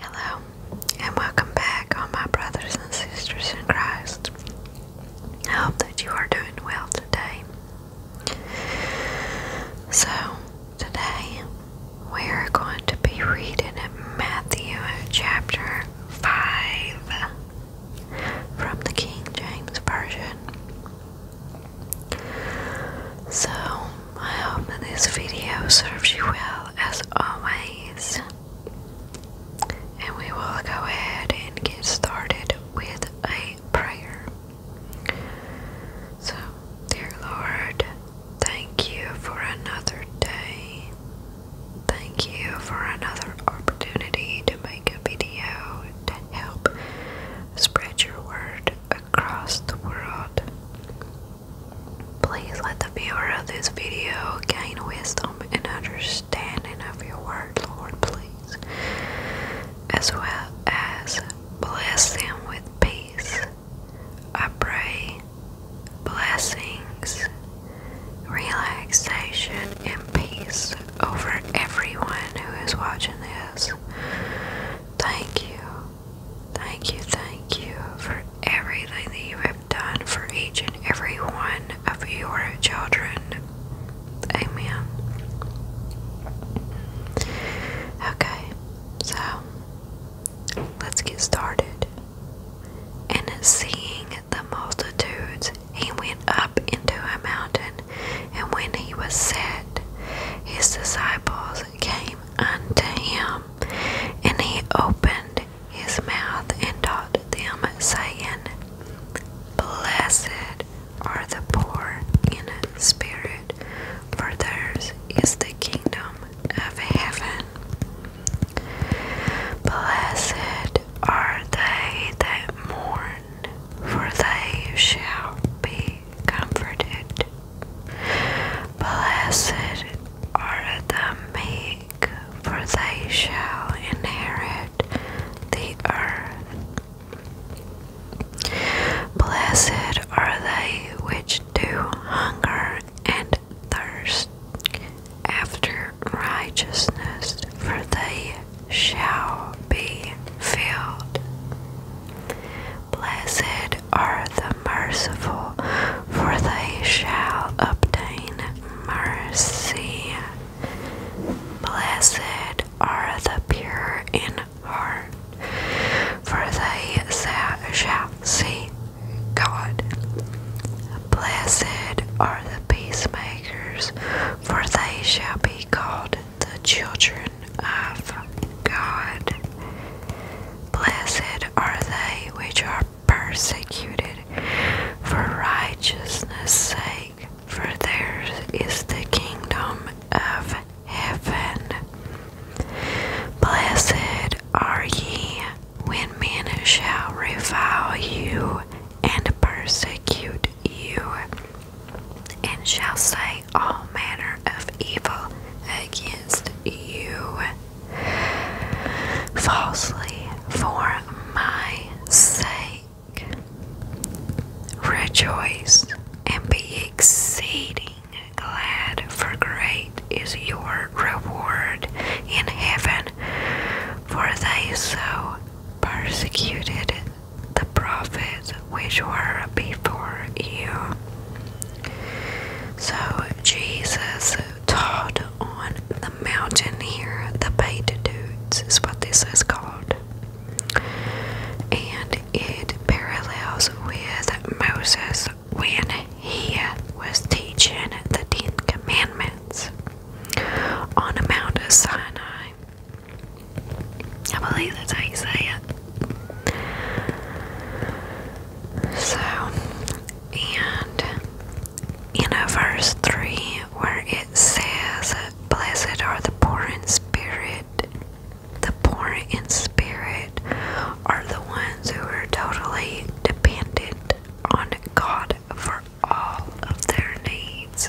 Hello, and welcome back, all my brothers and sisters in Christ. I hope that you are doing well today. So, today we are going to be reading Matthew chapter 5 from the King James Version. So, I hope that this video serves you well as always. And we will go ahead and get started with a prayer. So, dear Lord, thank you for another day. Thank you for another opportunity to make a video to help spread your word across the world. Please let the viewer of this video gain wisdom and understanding of your word, Lord, please, as well as bless them with peace. I pray blessings, relaxation, and peace over everyone who is watching this. Thank you Thank you, thank you for everything that you have done for each and every one of your children. Amen. Okay, so let's get started. And seeing the multitudes, he went up into a mountain, and when he was set, his disciples came unto him. And he opened his mouth and taught them, saying, Blessed are the poor in spirit, for theirs is the kingdom of heaven. Blessed are they that mourn, for they shall be comforted. Blessed are the meek, for they shall inherit the earth. Blessed are they which do hunger and thirst after righteousness, for they shall be filled. Blessed are the merciful, for they shall obtain mercy. Blessed are the pure in heart, for they shall see God. Blessed are the peacemakers, for they shall be called the children of God. Blessed are they which are persecuted for righteousness' sake, for theirs is the kingdom of heaven. Blessed are ye when men shall revile you and persecute you, and shall say all manner of evil against you falsely for my sake. Rejoice and be exceeding glad, for great is your reward in heaven, for they so persecuted the prophets which were before you. So Jesus taught on the mountain here, the Beatitudes is what this is called. And it parallels with Moses when he was teaching the Ten Commandments on the Mount of Sinai. I believe that's how so, and in a verse 3 where it says, Blessed are the poor in spirit, the poor in spirit are the ones who are totally dependent on God for all of their needs.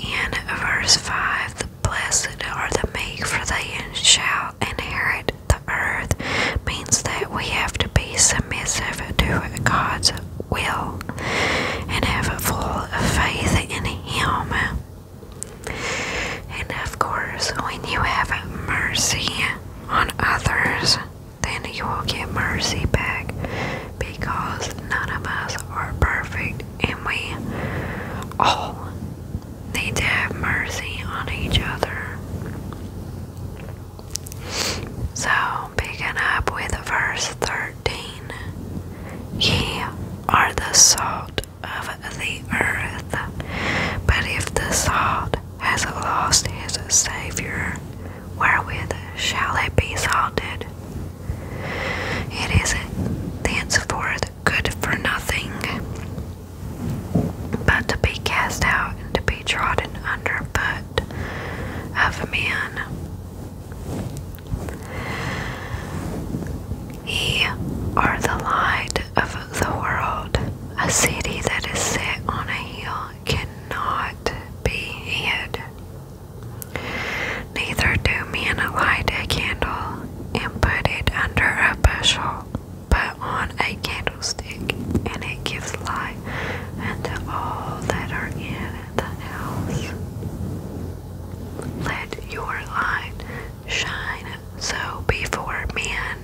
And in verse 5, the blessed are the meek, for they shall inherit the earth, means that we have to be submissive to God's will and have a full faith in Him. And of course, when you have mercy on others, then you will get mercy back because none of us are perfect and we all need to have mercy on each other. So, picking up with verse 13 Ye are the salt of the earth, but if the salt has lost his Saviour, wherewith shall it be salted? It is thenceforth good for nothing but to be cast out to be trodden underfoot of men. Ye are the light of the world. A city that is set on a hill cannot be hid. Neither do men light a candle and put it under a bushel, but on a candlestick, and it gives light unto all that are in the house. Let your light shine so before men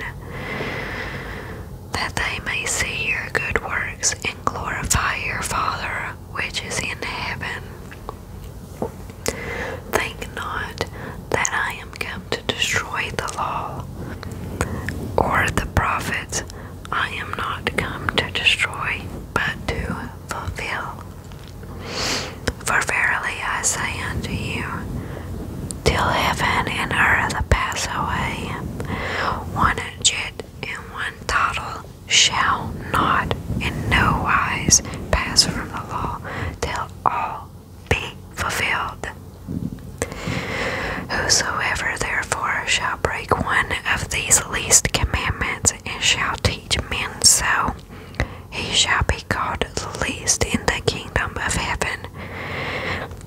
that they may see your good works and glorify your Father which is in heaven. Think not that I am come to destroy the law or the prophets. I am not come to destroy, but to fulfill. For verily I say unto you, till heaven and earth pass away, one jot and one tittle shall not in no wise pass from the law till all be fulfilled. Whosoever therefore shall break one of these least commandments and shall teach men so, he shall be called the least in the kingdom of heaven.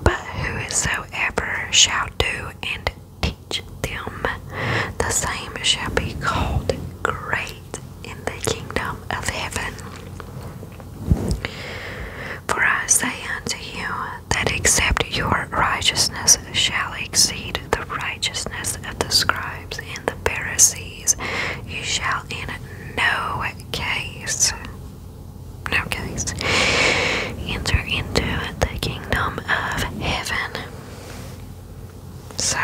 But whosoever shall do and teach them. The same shall be called great in the kingdom of heaven. For I say unto you that except your righteousness shall exceed the righteousness of the scribes and the Pharisees, you shall in no case, no case, enter into the kingdom of heaven. So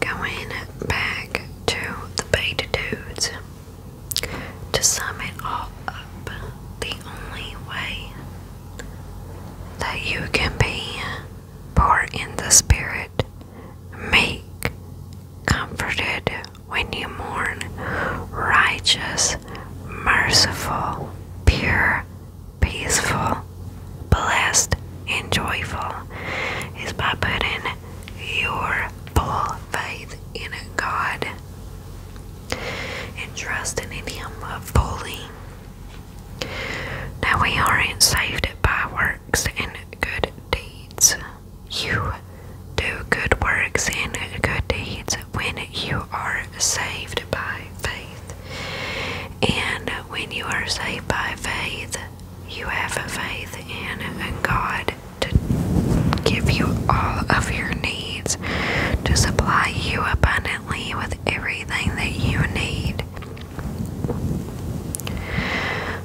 going back to the beta to sum it all up, the only way that you can be poor in the spirit make comforted when you mourn, righteous, merciful, pure, peaceful, blessed, and joyful, is by putting your full faith in God and trusting in Him fully. Now we aren't saved by works and good deeds. You do good works and good deeds when you are saved by faith. And when you are saved by faith, you have faith in God to give you all of your needs, to supply you abundantly with everything that you need.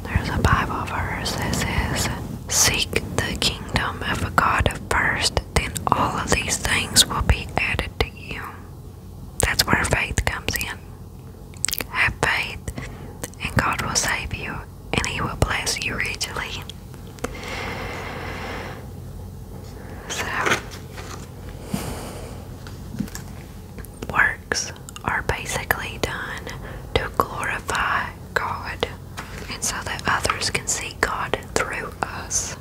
There's a Bible verse that says, Seek the kingdom of God first, then all of these things will be added to you. That's where faith comes in. Have faith, and God will save you, and He will bless you richly. So, works are basically done to glorify God and so that others can see God through us.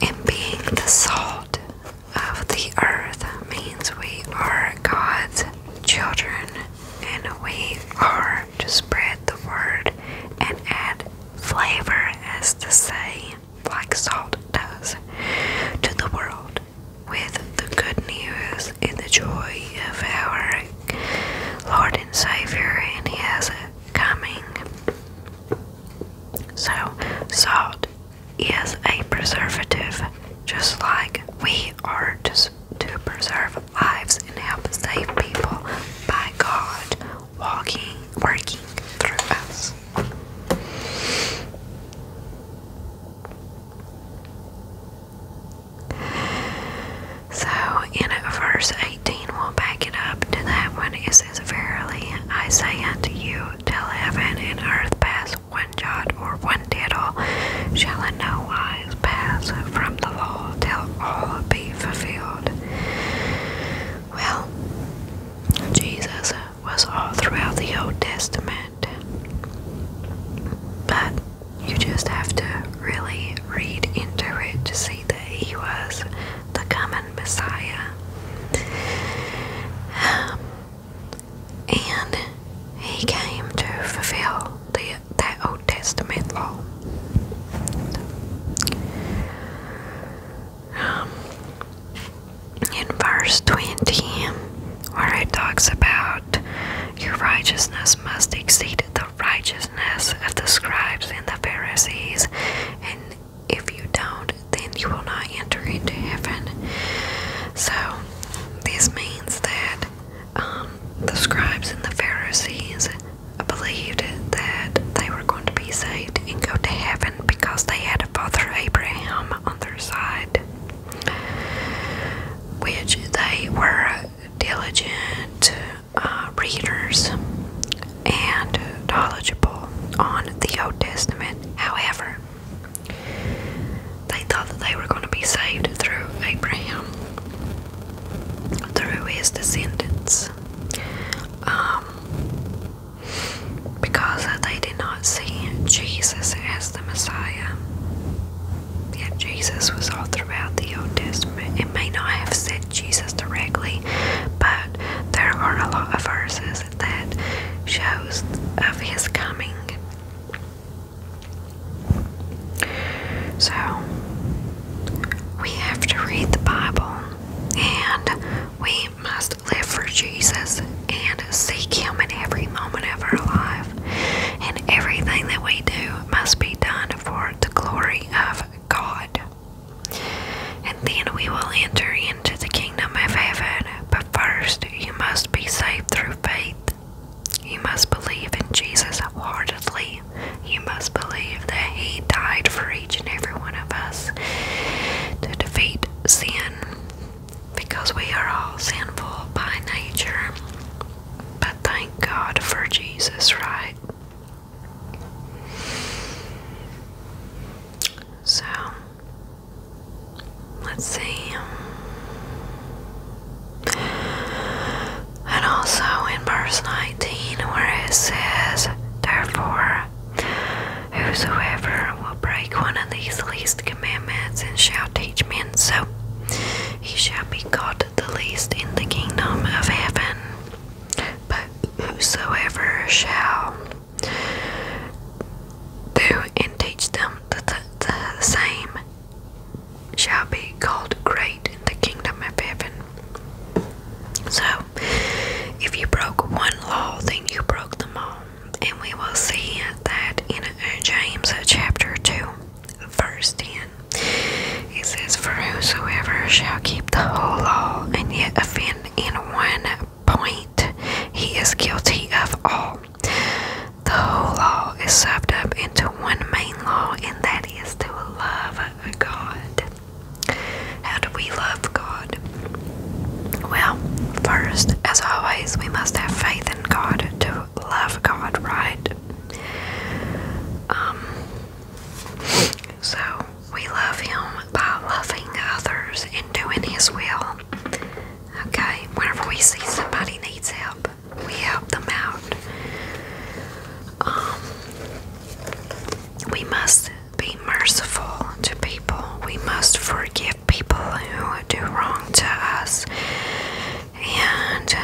And being the salt of the earth means we are God's children and we are to spread the word and add flavor, as to say like salt does, to the world. With the good news and the joy of our Lord and Savior and His coming. So, salt is a preservative, just like we are to, to preserve lives and help save people by God walking, working through us. So in verse 18, we'll back it up to that one. It says, Verily I say unto you, till heaven and earth pass, one jot or one tittle shall in no wise pass from the law till all be fulfilled. Well, Jesus was all throughout the Old Testament. But you just have to really read into it to see that he was the coming Messiah. Um, and he came to fulfill the, that Old Testament law in verse 20, where it talks about your righteousness must exceed the righteousness of the scribes and the Pharisees, and if you don't, then you will not enter into heaven. So, this means that um, the scribes and the Pharisees believed that they were going to be saved and go to heaven because they had a father Abraham on their side, which they were diligent uh, readers and knowledgeable on the Old Testament. However, they thought that they were going to be saved through Abraham, through his descendants. Um, because they did not see Jesus as the Messiah. Yet Jesus was all throughout the Old Testament. It may not have said Jesus directly, but there are a lot of verses that shows of his coming. So we have to read the Bible and we must live for Jesus and seek Him in every moment of our life. And everything that we do must be done for the glory of God. And then we will enter into the kingdom of heaven. But first, you must be saved through faith. You must believe in Jesus heartedly. You must believe that He died for you and every one of us to defeat sin because we are all sinful by nature. But thank God for Jesus, right? So, let's see. And also in verse 19, where it says, Therefore Whosoever will break one of these least commandments and shall teach men so, he shall be called the least in the kingdom of heaven. But whosoever shall do and teach them the, same shall be called great in the kingdom of heaven. So, if you broke one law, then you broke them all. And we will see that in James chapter 2, verse 10. It says, For whosoever shall keep the whole law and yet offend in one point, he is guilty of all. The whole law is summed up into one main law, and that is to love God. How do we love God? Well, first, as always, we must have faith in God to love God, right? Um, so we love Him by loving others and doing His will. Okay, whenever we see somebody needs help, we help them out. Um, we must be merciful to people. We must forgive people who do wrong to us. And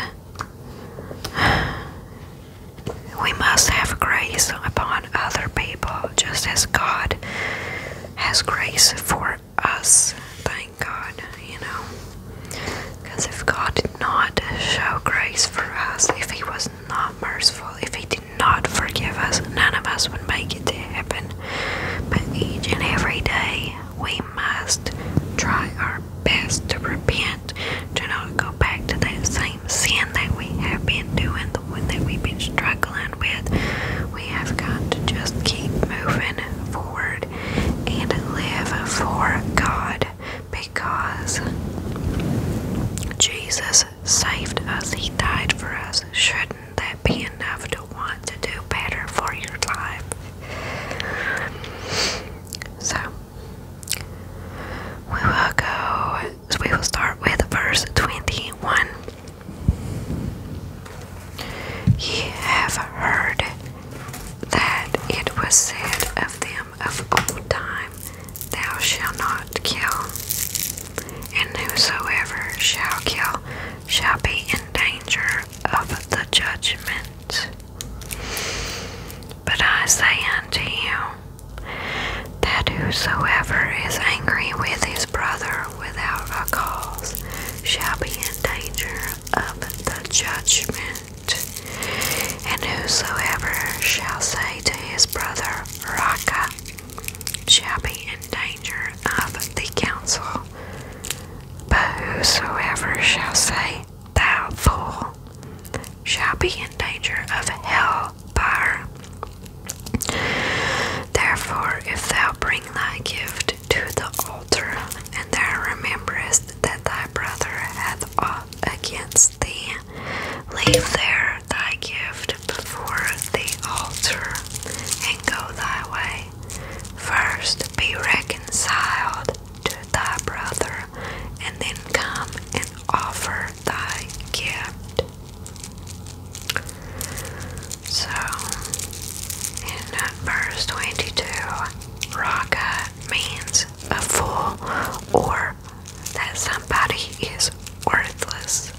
we must have grace upon other people, just as God has grace for us. Thank God, you know. Because if God did not show grace for us, if He was not merciful, if He did not not forgive us, none of us would make it to heaven. But each and every day, we must try our best to repent, to not go back to that same sin that we have been doing, the one that we've been struggling with. We have got to just keep moving forward and live for God because Jesus saved us, He died for us. Shouldn't that be enough to want to do better for your life? So, we will go, we will start with verse 21. You have heard that it was said of them of old time, Thou shalt not kill, and whosoever shall kill shall be in danger of the judgment. But I say unto you, that whosoever is angry with his brother without a cause shall be in danger of the judgment. And whosoever shall say to his brother, Raqqa shall be in danger of the council. But whosoever shall say, Thou fool, shall be in danger of hell fire. Therefore, if thou bring thy gift to the altar, and thou rememberest that thy brother hath aught against leave there thy gift before the altar and go thy way. First be reconciled to thy brother, and then come and offer thy gift. So, in verse 22, Raka means a fool or that somebody is worthless.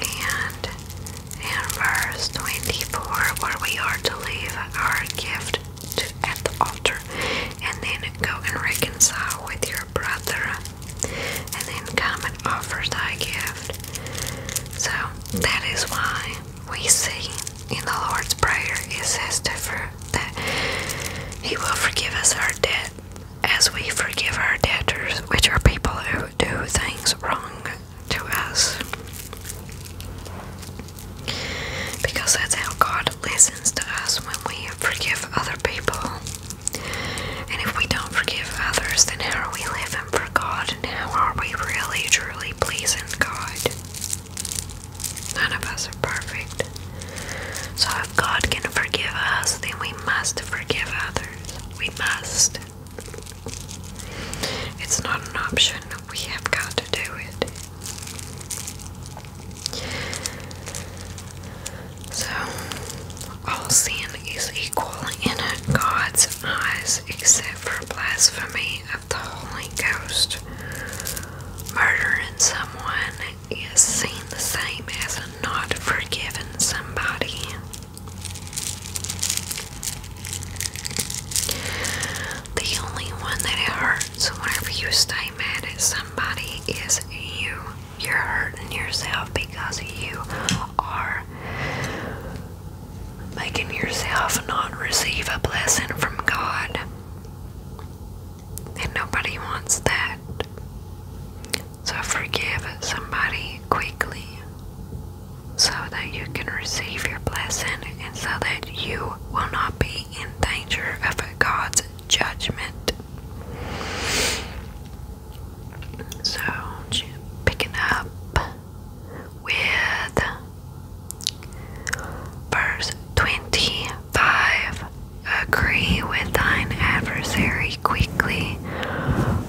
And in verse 24, where we are to leave our gift at the altar and then go and reconcile with your brother and then come and offer thy gift. So that is why we see in the Lord's Prayer, it says to for, that He will forgive us our debt as we forgive our debtors, which are people who do things wrong to us. Because that's how God listens to us when we forgive other people. And if we don't forgive others, then how are we living for God and how are we really truly pleasing God? None of us are perfect. So if God can forgive us, then we must forgive others. We must. It's not an option. We have got to do it. So, all sin is equal in God's eyes except for blasphemy the Holy Ghost murdering someone is seen the same as not forgiving somebody. The only one that hurts whenever you stay mad at somebody is you. You're hurting yourself because you are making yourself not receive a blessing from God. And nobody wants that. So forgive somebody quickly so that you can receive your blessing and so that you will not be in danger of God's judgment. So, picking up with Verse 25 Agree with thine adversary quickly,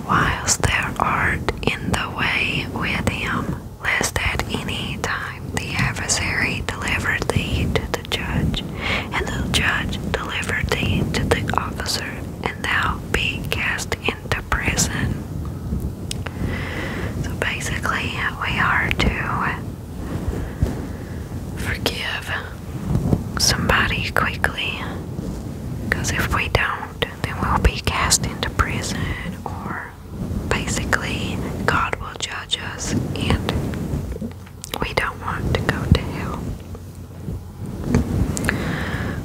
whilst thou art in the way with him, lest at any time the adversary deliver thee to the judge, and the judge deliver thee to the officer, and thou be cast into prison. So basically, we are to forgive somebody quickly. Because if we don't, then we'll be cast into prison, or basically, God will judge us, and we don't want to go to hell.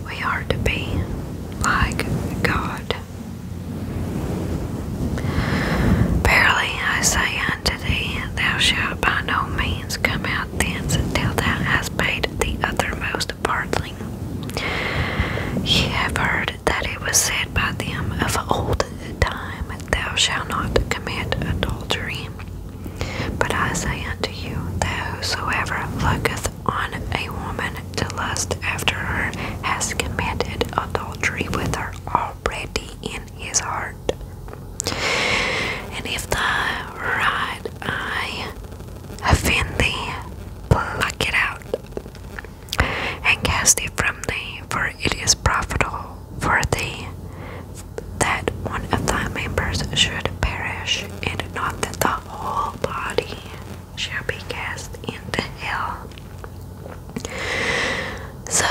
We are to be like God. Verily I say unto thee, thou shalt by no means come out thence until thou hast paid the uttermost partling. Ye have heard that it was said by them of old time, Thou shalt not commit adultery. But I say unto you, that whosoever looketh on a woman to lust after her has committed adultery with her already in his heart. And if the right eye offend thee, pluck it out and cast it from thee, for it is profitable for thee that one of thy members should perish, and not that the whole body shall be cast into hell. So,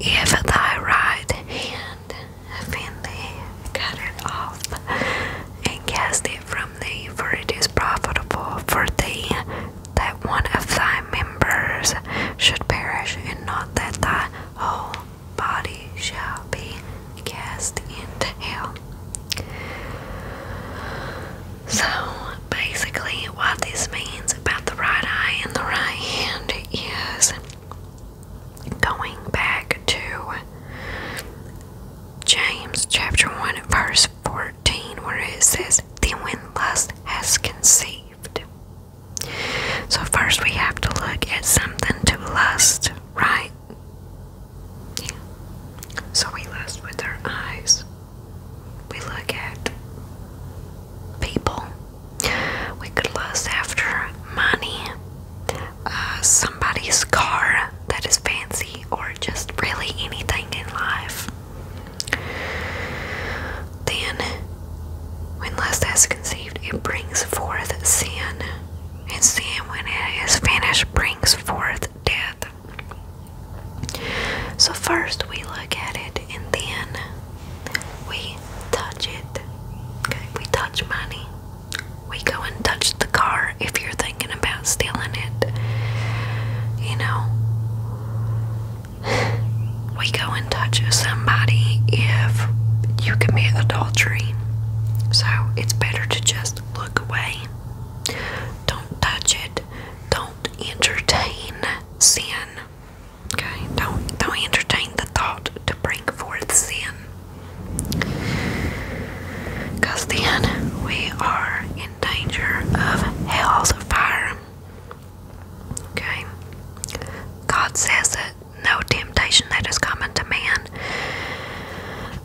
if thy right hand offend thee, cut off and cast it from thee, for it is profitable for thee that one of thy members should perish, and not that thy whole body shall be cast into hell. So basically, what this means about the right eye and the right hand is going back to James chapter 1, verse 14, where it says, Then when lust has conceived. So, first we have to look at something to lust, right? Yeah. So, we lust with our eyes we look at people. We could lust after money, uh, somebody's car that is fancy, or just really anything in life. Then, when lust is conceived, it brings forth sin, and sin, when it is vanished, brings forth death. So, first we look at it and then we touch it. we touch money. We go and touch the car if you're thinking about stealing it. You know, we go and touch somebody if you commit adultery. So, it's better to just look away. Don't touch it. Don't don't entertain sin. Okay, don't don't entertain the thought to bring forth sin. Because then we are in danger of hell's fire. Okay. God says that no temptation that is common to man.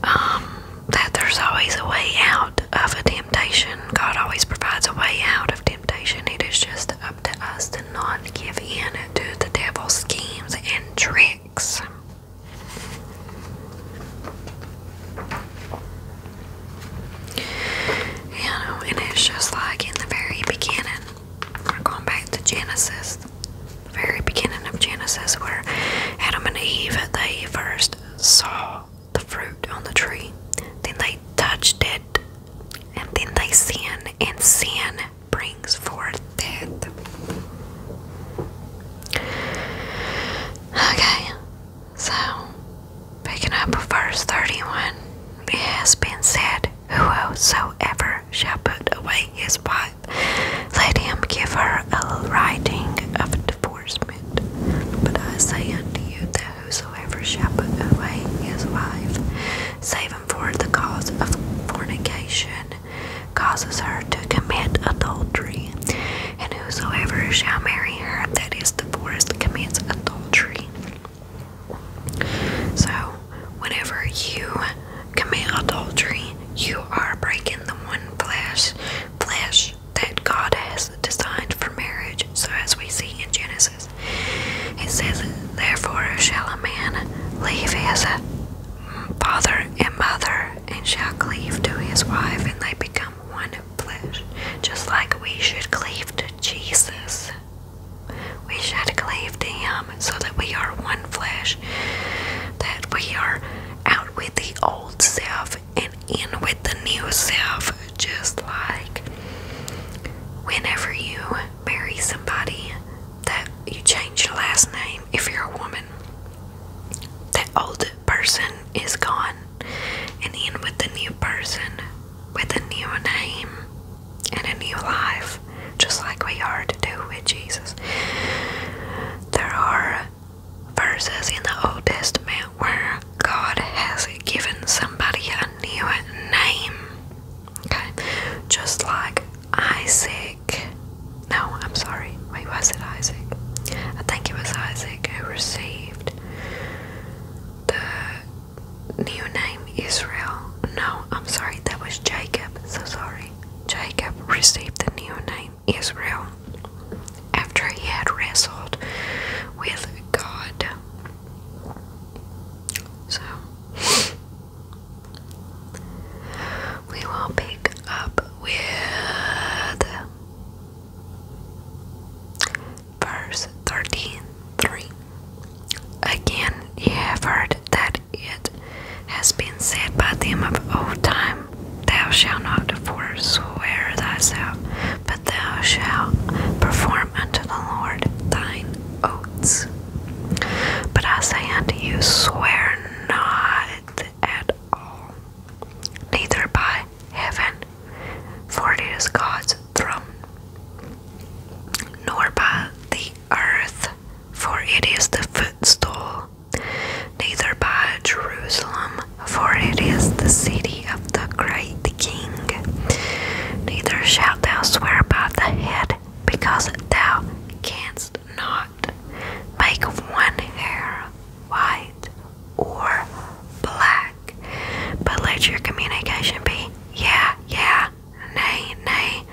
Um, that there's always a way out of a temptation. God always provides a way out of temptation. It is just up to us to not give in to the devil's schemes and tricks. You and it's just like in the very beginning. We're going back to Genesis, very beginning of Genesis, where Adam and Eve they first saw the fruit on the tree. Then they touched it, and then they sin, and sin brings forth death. Okay, so picking up verse 31, it has been said, Whosoever shall put away his wife, let him give her a writing of divorce. But I say unto you that whosoever shall put away his wife, save him for the cause of fornication, causes her to commit adultery. And whosoever shall marry her that is divorced commits adultery. So, whenever you commit adultery, you are breaking the one flesh, flesh that God has designed for marriage, so as we see in Genesis. He says, Therefore shall a man leave his father and mother, and shall cleave to his wife, and they become one flesh. Just like we should cleave to Jesus, we should cleave to Him so that we are one flesh, that we are out with the old self and in with the new self, just like whenever you marry somebody that you change your last name if you're a woman. That old person is gone and in with the new person with a new name and a new life, just like we are to do with Jesus. There are verses in the Old Testament where God has given somebody a new name. Okay, just like Isaac. No, I'm sorry. Wait, was it Isaac? I think it was Isaac who received the new name Israel. No, I'm sorry, that was Jacob. So sorry. Jacob received the new name Israel after he had wrestled with God. So, we will pick up with verse 13 Again, you have heard that it has been said by them of old time. Thou shalt not forswear thyself, but thou shalt perform unto the Lord thine oaths. But I say unto you, swear not at all, neither by heaven, for it is God's throne, nor by the earth, for it is the footstool neither by Jerusalem, for it is the city of the great king. Neither shalt thou swear by the head, because thou canst not make one hair white or black. But let your communication be yeah, yeah, nay, nay,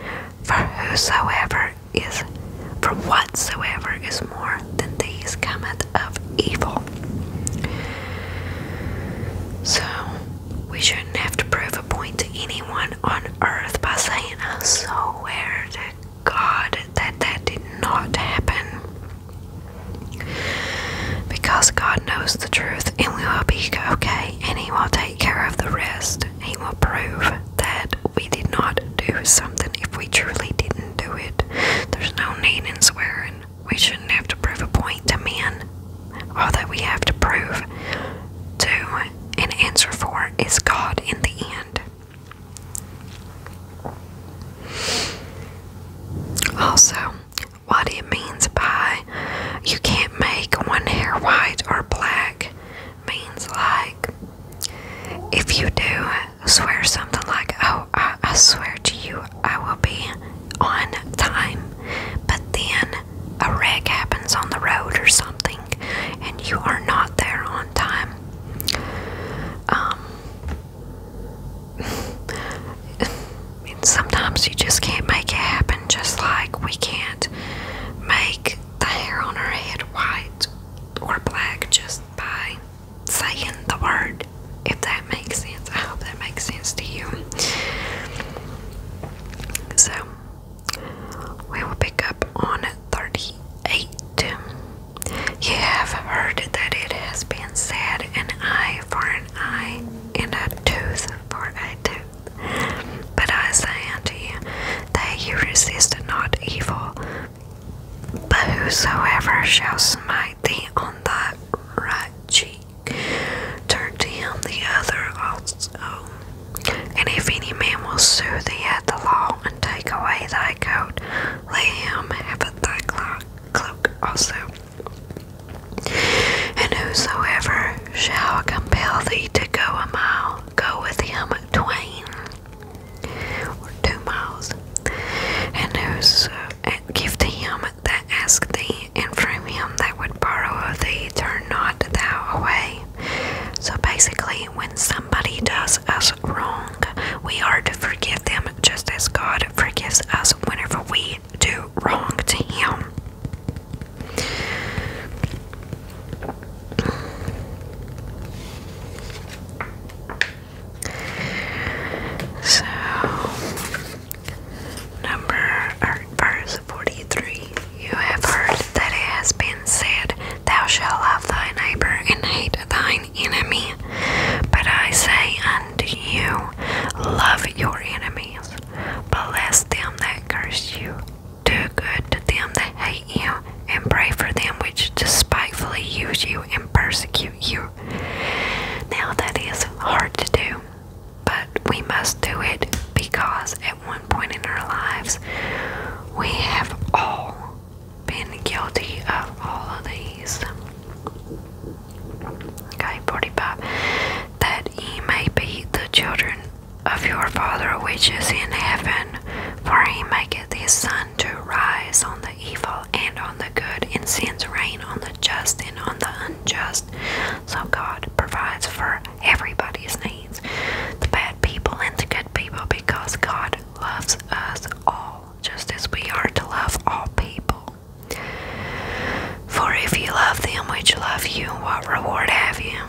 for whosoever is for whatsoever is more than these cometh of evil. So, we shouldn't have to prove a point to anyone on earth by saying, I swear to God that that did not happen. Because God knows the truth and we will be okay and He will take care of the rest. He will prove that we did not do something if we truly did not do it. There's no need in swearing. We shouldn't have to prove a point to men. All that we have to prove to and answer for is God in the end. Also, what it means by you can't make one hair white or black means like if you do swear something like, Oh, I, swear to you, I will be on time, but then a wreck happens on the road or something, and you are not there on time. Um, sometimes you just can't make it happen, just like we can't make the hair on our head white or black just by saying the word, if that makes sense. I hope that makes sense to you. So, we will pick up on 38. You have heard that it has been said, an eye for an eye, and a tooth for a tooth. But I say unto you, that you resist not evil, but whosoever shall smite thee on thy right cheek, turn to him the other also. And if any man will sue thee at the law and take away thy coat, lay him have thy cloak also. And whosoever shall compel thee to go a mile, go with him twain or two miles, and whoso uh, give to him that ask thee, and from him that would borrow of thee, turn not thou away. So basically, when somebody does us wrong, we are to forgive them just as God forgives us whenever we do wrong to Him. So number verse 43 You have heard that it has been said, Thou shalt love thy neighbor and hate thine enemy. But I say unto you, Love your enemies, bless them that curse you, do good to them that hate you, and pray for them which despitefully use you and persecute you. Now that is hard to do, but we must do it because at one point in our lives we have all been guilty of all of these. Okay, 45. That ye may be the children of your Father which is in heaven, for he maketh his sun to rise on the evil and on the good, and sends rain on the just and on the unjust. So God provides for everybody's needs the bad people and the good people because God loves us all, just as we are to love all people. For if you love them which love you, what reward have you?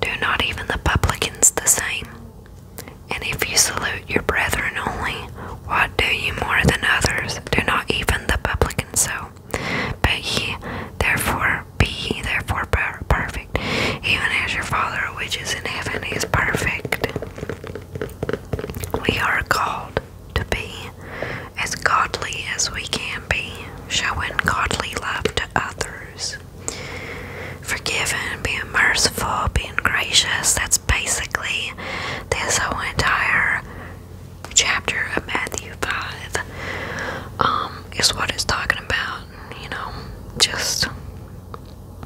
Do not even the publicans the same? And if you salute your brethren only, what do you more than others? Do not even the publicans so. But ye therefore be ye therefore perfect, even as your Father which is in heaven is perfect. We are called to be as godly as we can be, showing godly love to others forgiving, being merciful, being gracious. That's basically this whole entire chapter of Matthew 5 um, is what it's talking about. You know, just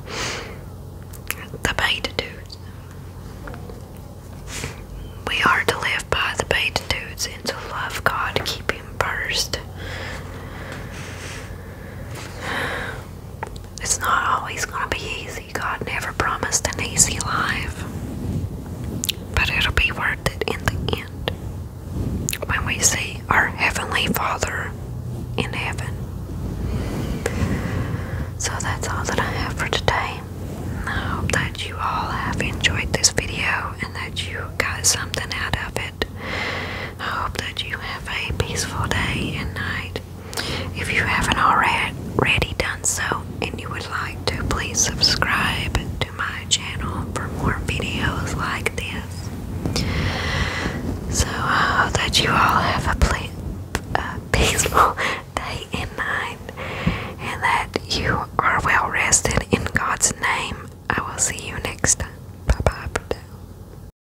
the Beatitudes. We are to live by the Beatitudes and to love God, keep Him first. It's not always going to be easy. God never promised an easy life. But it'll be worth it in the end when we see our Heavenly Father in heaven. So that's all that I have for today. I hope that you all have enjoyed this video and that you got something out of it. I hope that you have a peaceful day and night. If you haven't already done so and you would like to, please subscribe to my channel for more videos like this. So I hope that you all have a, ple a peaceful day and night and that you are well rested in God's name. I will see you next time. Bye bye